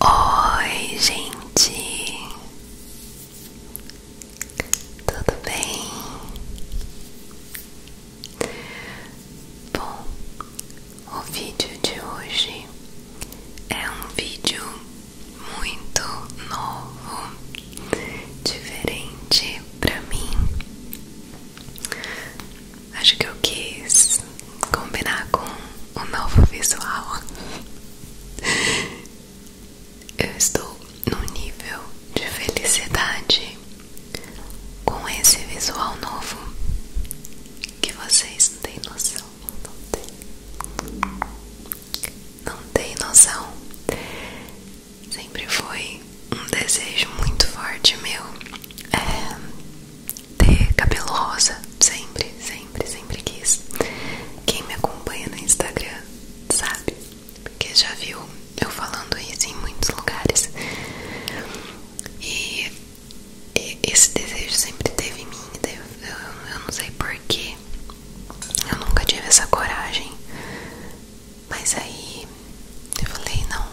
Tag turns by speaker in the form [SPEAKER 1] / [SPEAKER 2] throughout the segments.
[SPEAKER 1] Oi, gente, tudo bem? Bom, o vídeo de hoje é um vídeo muito novo, diferente para mim acho que eu quis combinar com o novo visual. Eu estou num nível de felicidade com esse visual novo que vocês não têm noção. Não tem, não tem noção. Sempre foi um desejo muito forte meu é, ter cabelo rosa. Sempre, sempre, sempre quis. Quem me acompanha no Instagram sabe, porque já viu eu falando isso em muitos lugares. E esse desejo sempre teve em mim. Eu, eu não sei porquê. Eu nunca tive essa coragem. Mas aí eu falei, não.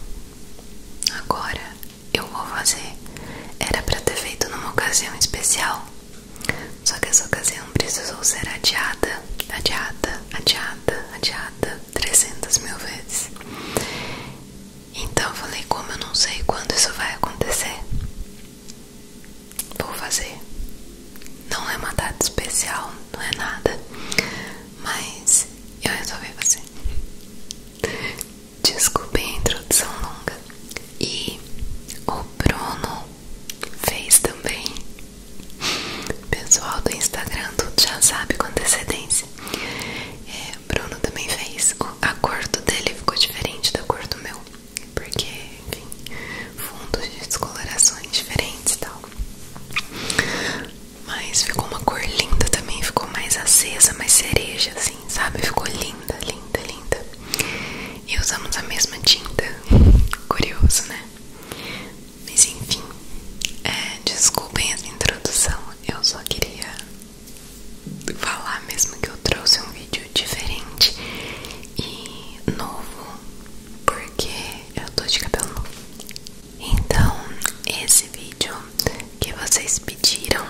[SPEAKER 1] Agora eu vou fazer era para ter feito numa ocasião especial, só que essa ocasião precisou ser adiada, adiada, adiada, adiada 300 mil vezes. Então eu falei: como eu não sei quando isso vai acontecer, vou fazer. Não é uma data especial, não é nada, mas eu resolvi fazer. Desculpe a introdução longa. E o Bruno fez também. Pessoal do Instagram, tudo já sabe com antecedência. É, Bruno também fez. A cor do dele ficou diferente da cor do meu. Porque, enfim, fundos de descolorações diferentes e tal. Mas ficou uma cor linda também. Ficou mais acesa, mais cereja, assim. Assim, sabe? Ficou linda, linda, linda. E usamos a mesma tinta. Curioso, né? Mas enfim, é, desculpem essa introdução. Eu só queria falar mesmo que eu trouxe um vídeo diferente e novo, porque eu tô de cabelo novo. Então, esse vídeo que vocês pediram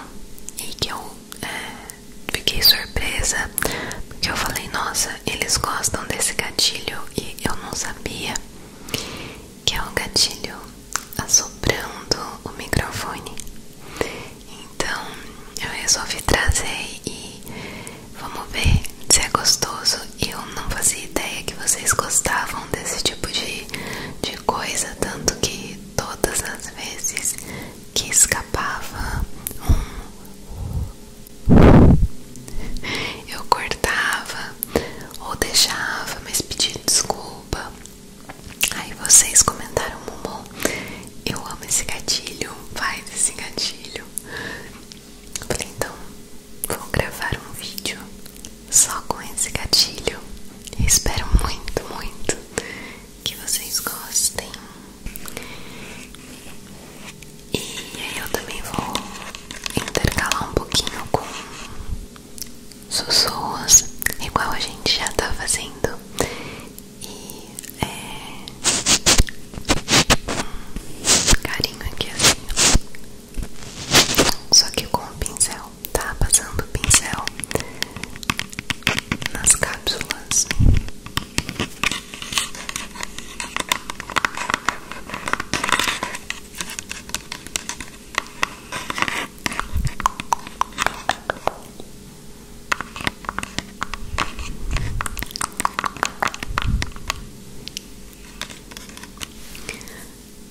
[SPEAKER 1] e que eu é, fiquei surpresa porque eu falei, nossa, eles gostam desse gatilho e eu não sabia que é o gatilho assoprando o microfone. Então eu resolvi trazer e vamos ver se é gostoso. Eu não fazia ideia que vocês gostavam desse tipo de, de coisa, tanto que todas as vezes que escapava um eu cortava ou deixava, mas pedia desculpa. Aí vocês comentaram, Mumu, eu amo esse gatilho, faz esse gatilho. Eu falei, então, vou gravar um vídeo só com esse gatilho. espero muito, muito que vocês gostem. E aí eu também vou intercalar um pouquinho com sussurros, igual a gente já tá fazendo. E é carinho aqui assim, só que com o pincel tá? Passando pincel nas cápsulas.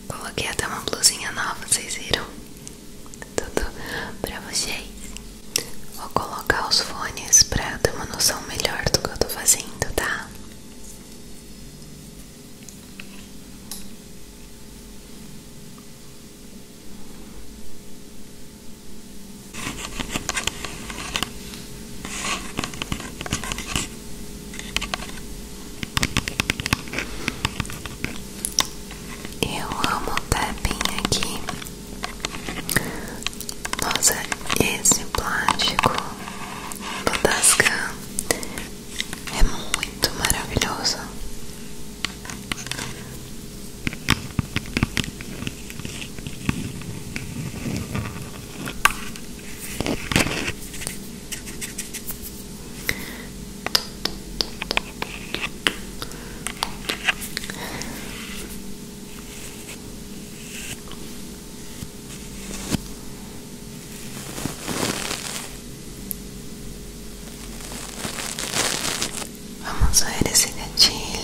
[SPEAKER 1] Coloquei até uma blusinha nova, vocês viram? Tudo pra vocês. Vou colocar os fones pra ter uma noção melhor do que eu tô fazendo, tá? Eu amo tapping aqui. Nossa, esse plástico do Tascan é muito maravilhoso. Vamos ver esse gatilho.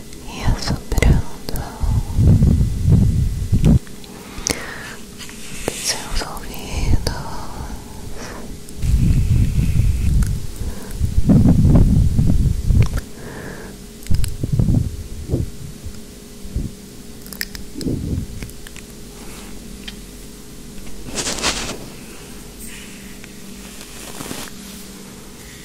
[SPEAKER 1] e assoprando seus ouvidos.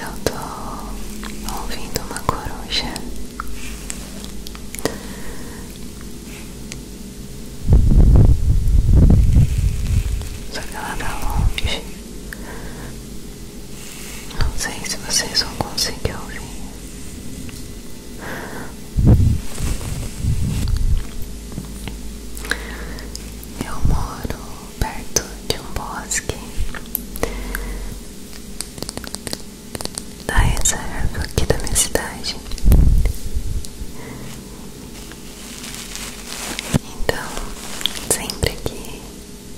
[SPEAKER 1] Eu tô ouvindo uma coruja. Só que ela tá longe. Não sei se vocês vão conseguir ouvir. Eu moro perto de um bosque da reserva aqui da minha cidade. Então, sempre aqui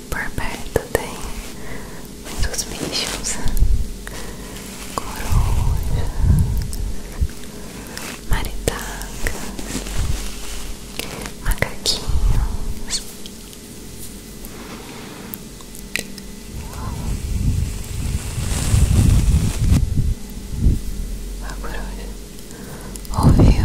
[SPEAKER 1] por perto tem muitos bichos, corujas, maritacas, macaquinhos, a coruja ouviu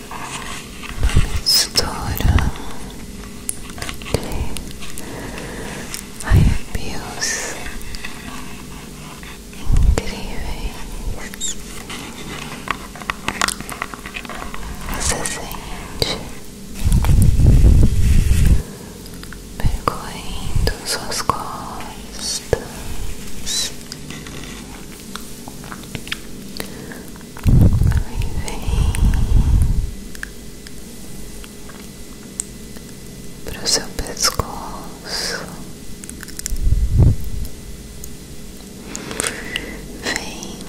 [SPEAKER 1] Mistura de arrepios incríveis. Você sente percorrendo suas costas vem para o seu pescoço, vem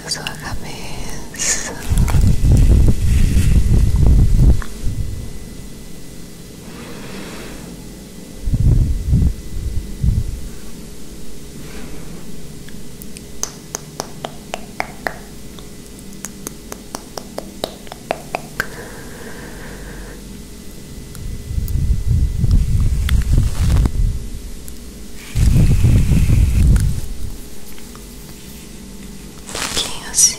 [SPEAKER 1] para sua cabeça. Um pouquinho assim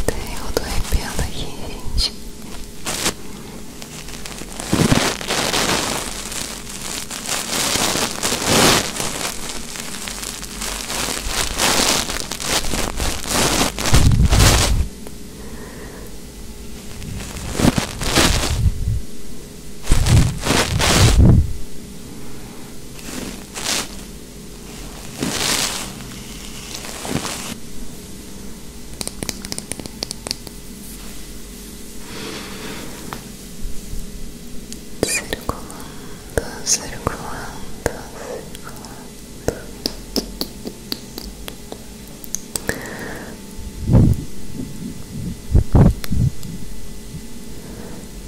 [SPEAKER 1] Até eu tô arrepiando aqui, gente. Agora circulando, circulando, circulando.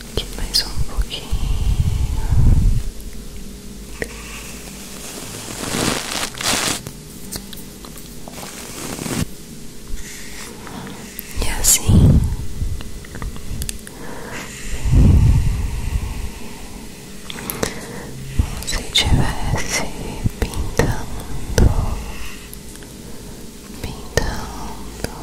[SPEAKER 1] Aqui mais um pouquinho. E assim se tivesse pintando, pintando. Pintando,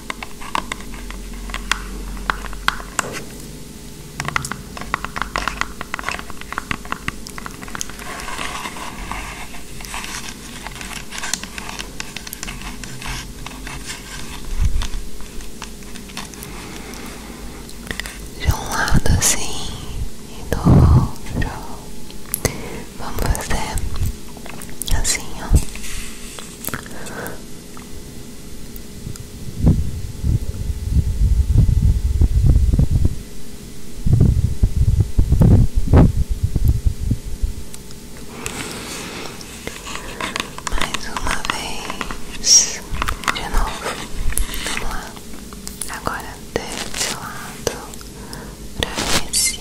[SPEAKER 1] De um lado assim e do outro. Vamos fazer assim, ó. Mais uma vez, de novo, vamos lá. Agora desse lado para esse,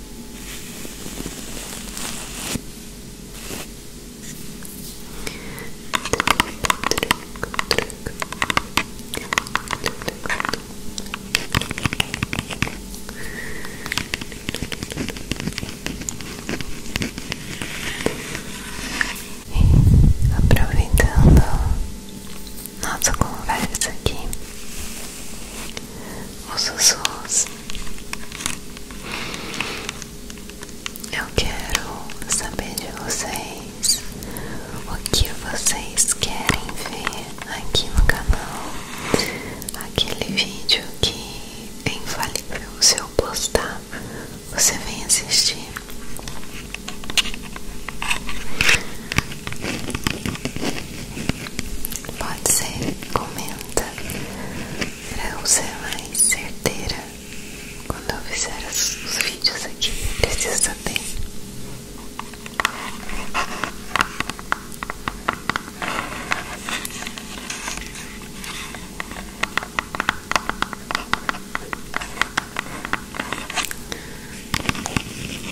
[SPEAKER 1] E aproveitando nossa conversa aqui, os sussurros. Eu quero saber de vocês o que vocês querem ver aqui no canal, aquele vídeo que é infalível se eu postar, você vem assistir. Pode ser, comenta para eu ser mais certeira quando eu fizer os vídeos aqui. Preciso saber.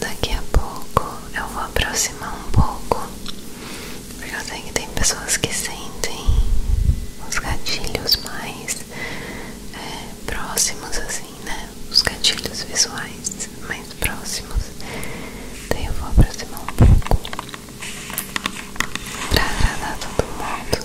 [SPEAKER 1] Daqui a pouco eu vou aproximar um pouco, porque eu sei que tem pessoas que sentem os gatilhos mais é, próximos assim Assim, né? Os gatilhos visuais mais próximos. Daí eu vou aproximar um pouco pra agradar todo mundo.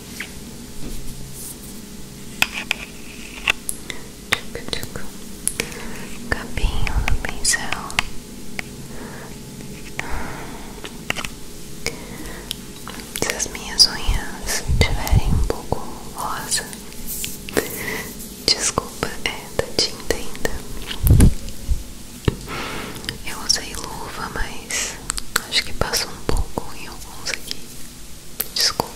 [SPEAKER 1] Cabinho do pincel Se as minhas unhas tiverem um pouco rosa Desculpa, é da tinta ainda Eu usei luva, mas Acho que passou um pouco em alguns aqui. Desculpa.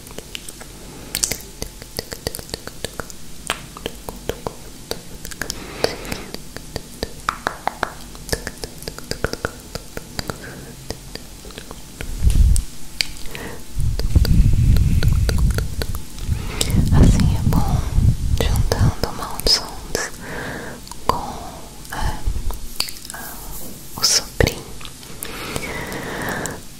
[SPEAKER 1] Assim é bom, juntando maus sons com a, é, a, o sobrinho.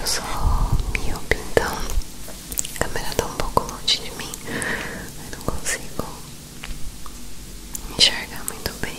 [SPEAKER 1] Eu sou míope, então a câmera tá um pouco longe de mim. Eu não consigo enxergar muito bem.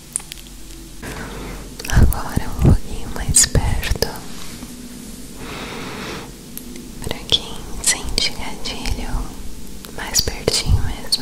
[SPEAKER 1] Agora um pouquinho mais perto, para quem sente gatilho, mais pertinho mesmo.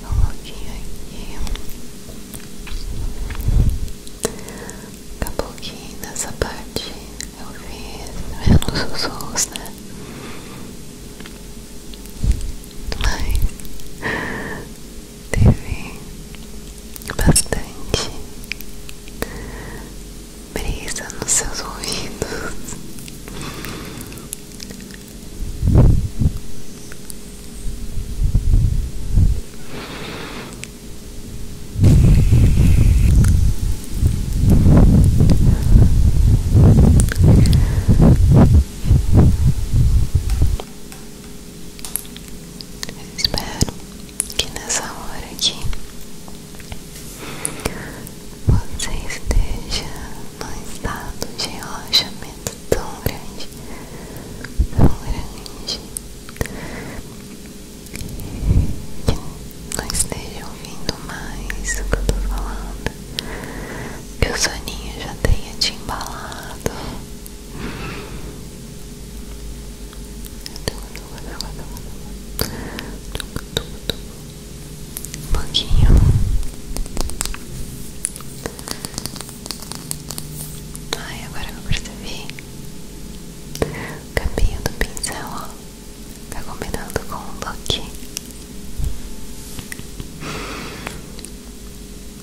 [SPEAKER 1] Coloquei aqui Acabou que nessa parte eu vi menos os sons, né? Mas teve bastante brisa nos seus ouvidos espero que nessa hora aqui você esteja num estado de relaxamento tão grande, tão grande, que não esteja ouvindo mais o que eu tô falando, que o soninho já tenha te embalado um pouquinho ai agora eu percebi o cabelo do pincel ó tá combinando com o look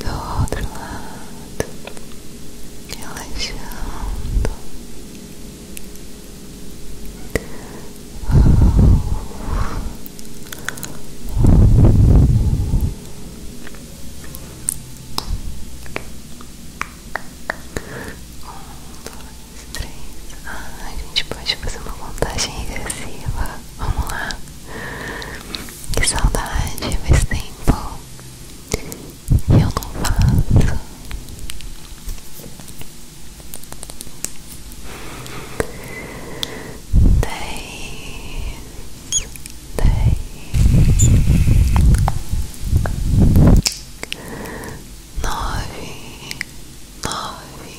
[SPEAKER 1] do outro lado, relaxando. Um, dois, três. Ah, a gente pode fazer uma montagem regressiva. Vamos lá. Que saudade, desse tempo que eu não faço. Dez, dez, nove, nove.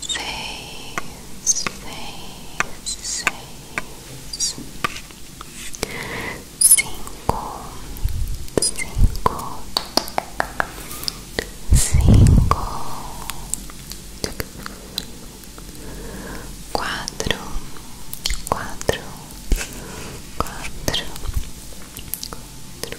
[SPEAKER 1] seis, seis, seis, cinco, cinco, cinco, quatro, quatro, quatro. Três,